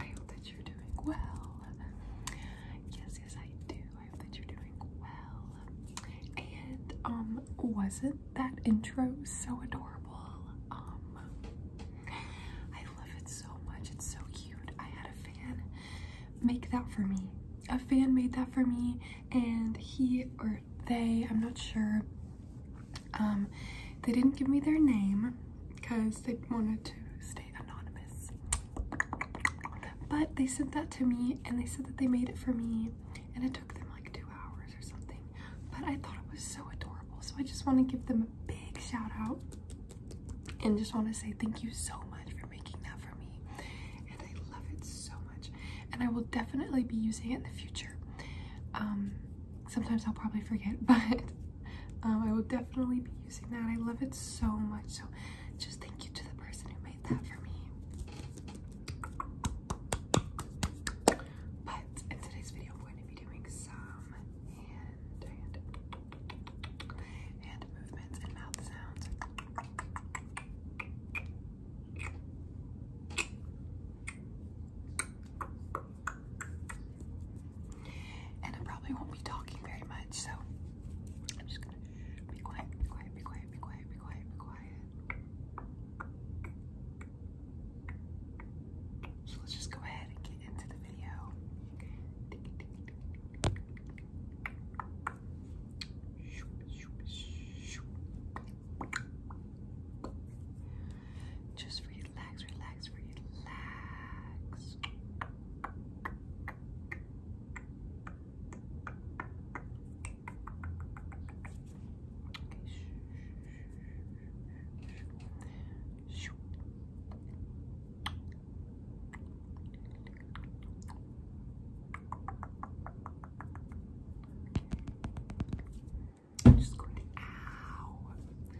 I hope that you're doing well. Yes, yes, I do. I hope that you're doing well. And um, wasn't that intro so adorable? Um, I love it so much. It's so cute. I had a fan make that for me. A fan made that for me, and he or they, I'm not sure. Um, they didn't give me their name, because they wanted to stay anonymous. But they sent that to me and they said that they made it for me and it took them like two hours or something. But I thought it was so adorable. So I just want to give them a big shout out and just want to say thank you so much for making that for me. And I love it so much. And I will definitely be using it in the future. Um, sometimes I'll probably forget, but um, I will definitely be using that. I love it so much. So just thank you to the person who made that for me. But in today's video, I'm going to be doing some hand, and hand movements and mouth sounds. And I probably won't be talking very much, so I'm just gonna be quiet, be quiet, be quiet, be quiet, be quiet, be quiet. So let's just go ahead and get into the video. Just relax, relax, relax. Okay. I'm just going to ow.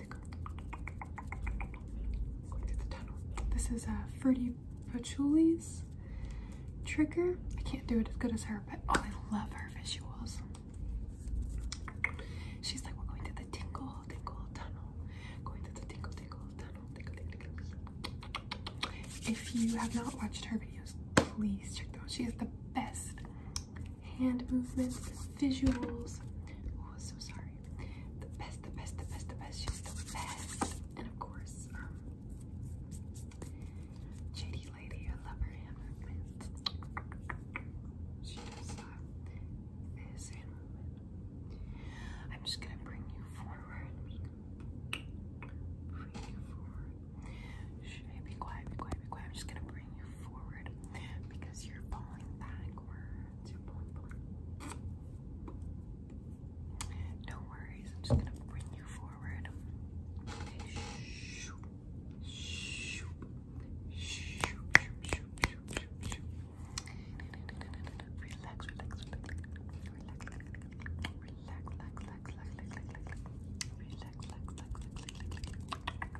tickle. Going through the tunnel. This is a uh, Fruity Patchouli's trigger. I can't do it as good as her, but oh, I love her visuals. She's like, we're going through the tingle, tingle tunnel. Going through the tingle, tingle tunnel. Tingle, tingle, tingle. If you have not watched her videos, please check them out. She is the best hand movements, visuals. Oh, so sorry. The best, the best, the best, the best. She's the best. And of course, um, JD Lady, I love her hand movements. She's uh, this hand movement. I'm just gonna bring you forward. Bring you forward. be quiet? Be quiet. Be quiet. I'm just gonna bring you forward no worries, I'm just gonna bring you forward. Okay, shoop, shoop, shoop, shoop, shoop, shoop, relax, relax, relax, relax, relax, relax, relax, relax, relax, relax, relax,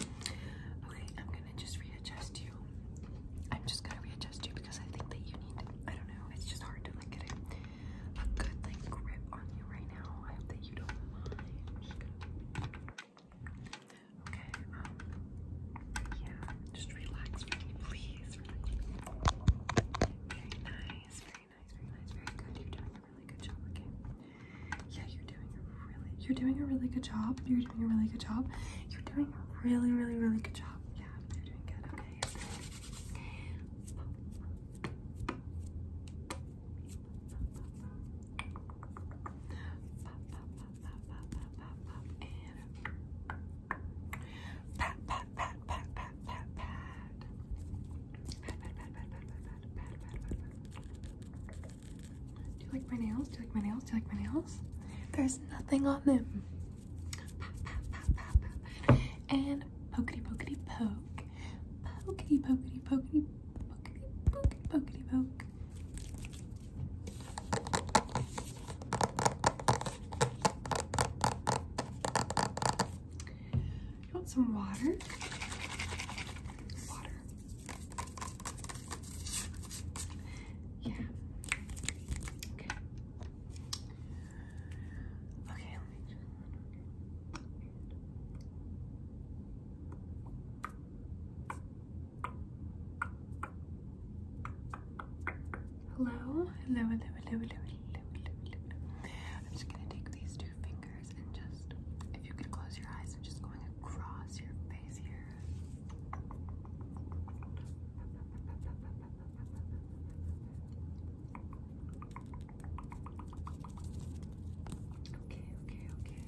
Okay, I'm gonna just readjust you. I'm just gonna readjust you because I think that you need, I don't know, it's just hard to like get a, a good like grip on you right now. I hope that you don't mind. just Okay, um, yeah, just relax me, please, relax. nice, very nice, very nice, very good. You're doing a really good job, okay? Yeah, you're doing a really, you're doing a really good job. You're doing a really good job. You're doing a really, really, really good job. Yeah, you're doing good. Okay. Do you like my nails? Do you like my nails? Do you like my nails? There's nothing on them. Pop, pop, pop, and pokety pokety poke. Pokety pokety pokety pokety pokety pokety poke. You want some water? Water. Yeah. Okay. Okay, hello, hello, hello, hello, hello, hello, hello. I'm just gonna take these two fingers and just, if you could close your eyes, I'm just going across your face here. Okay, okay, okay.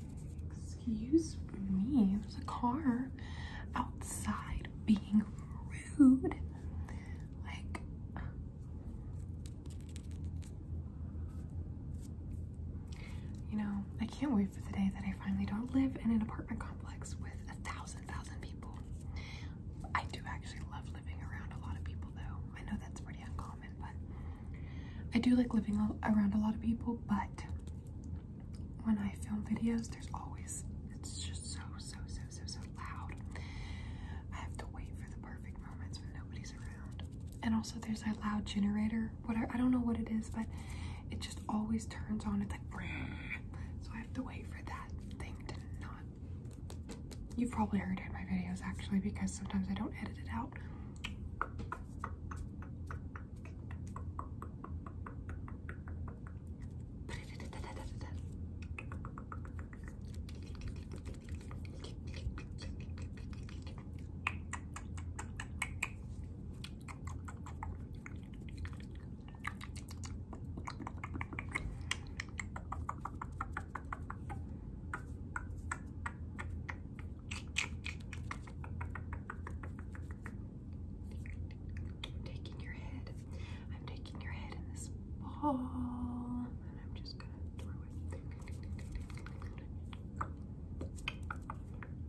Excuse me. There's a car outside being rude. Like, you know, I can't wait for the day that I finally don't live in an apartment complex with a thousand, thousand people. I do actually love living around a lot of people, though. I know that's pretty uncommon, but I do like living around a lot of people, but when I film videos, there's always, it's just so, so, so, so, so loud. I have to wait for the perfect moments when nobody's around. And also there's that loud generator or I don't know what it is, but it just always turns on. It's like, so I have to wait for that thing to not. You've probably heard in my videos actually because sometimes I don't edit it out. I'm taking your head. I'm taking your head in this ball, and I'm just gonna throw it.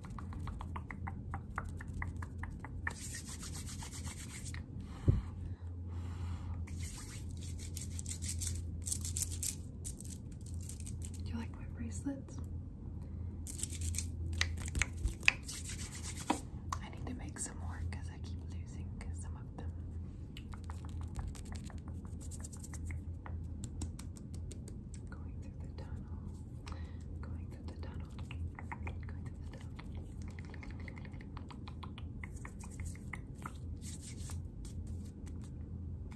Do you like my bracelets? I need to make some more because I keep losing some of them. Going through the tunnel. Going through the tunnel. Going through the tunnel.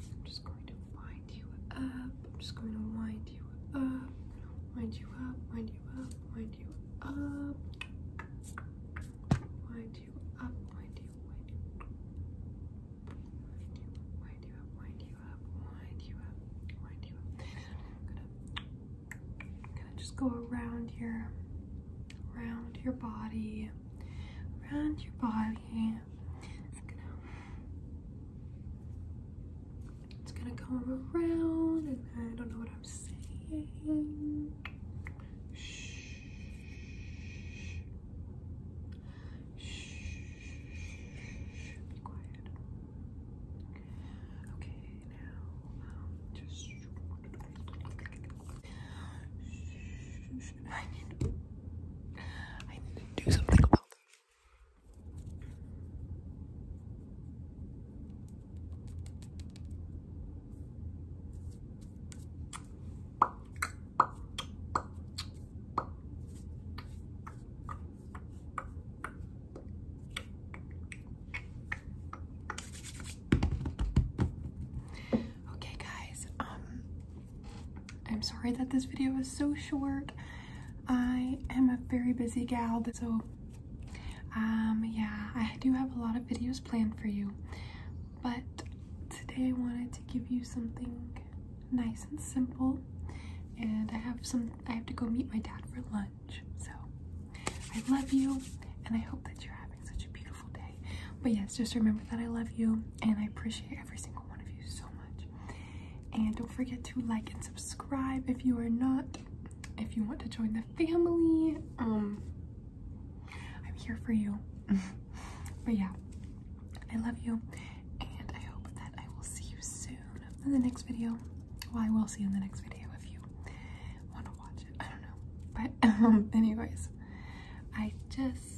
I'm just going to wind you up. I'm just going to wind you up. Wind you up. Wind you up. Wind you up. Wind you up. Wind you. Wind Wind you. Wind Wind you. I'm gonna, gonna just go around your, around your body, around your body. It's gonna, it's gonna come around, and I don't know what I'm saying. Shh. Shh. Be quiet. Okay, now um, just. I need. To, I need to do something about this. Okay guys, um I'm sorry that this video is so short. I am a very busy gal, so um yeah, I do have a lot of videos planned for you. But today I wanted to give you something nice and simple. And I have some I have to go meet my dad for lunch. So I love you and I hope that you're having such a beautiful day. But yes, just remember that I love you and I appreciate every single one of you so much. And don't forget to like and subscribe if you are not if you want to join the family. Um I'm here for you. but yeah. I love you and I hope that I will see you soon in the next video. Well, I will see you in the next video if you want to watch it. I don't know. But, um, anyways, I just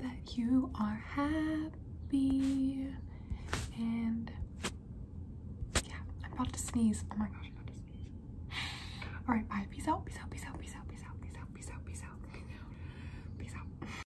that you are happy and yeah, I'm about to sneeze. Oh my gosh, I'm about to sneeze. Alright, bye. peace out, peace out, peace out, peace out, peace out, peace out, peace out, peace out. Peace out.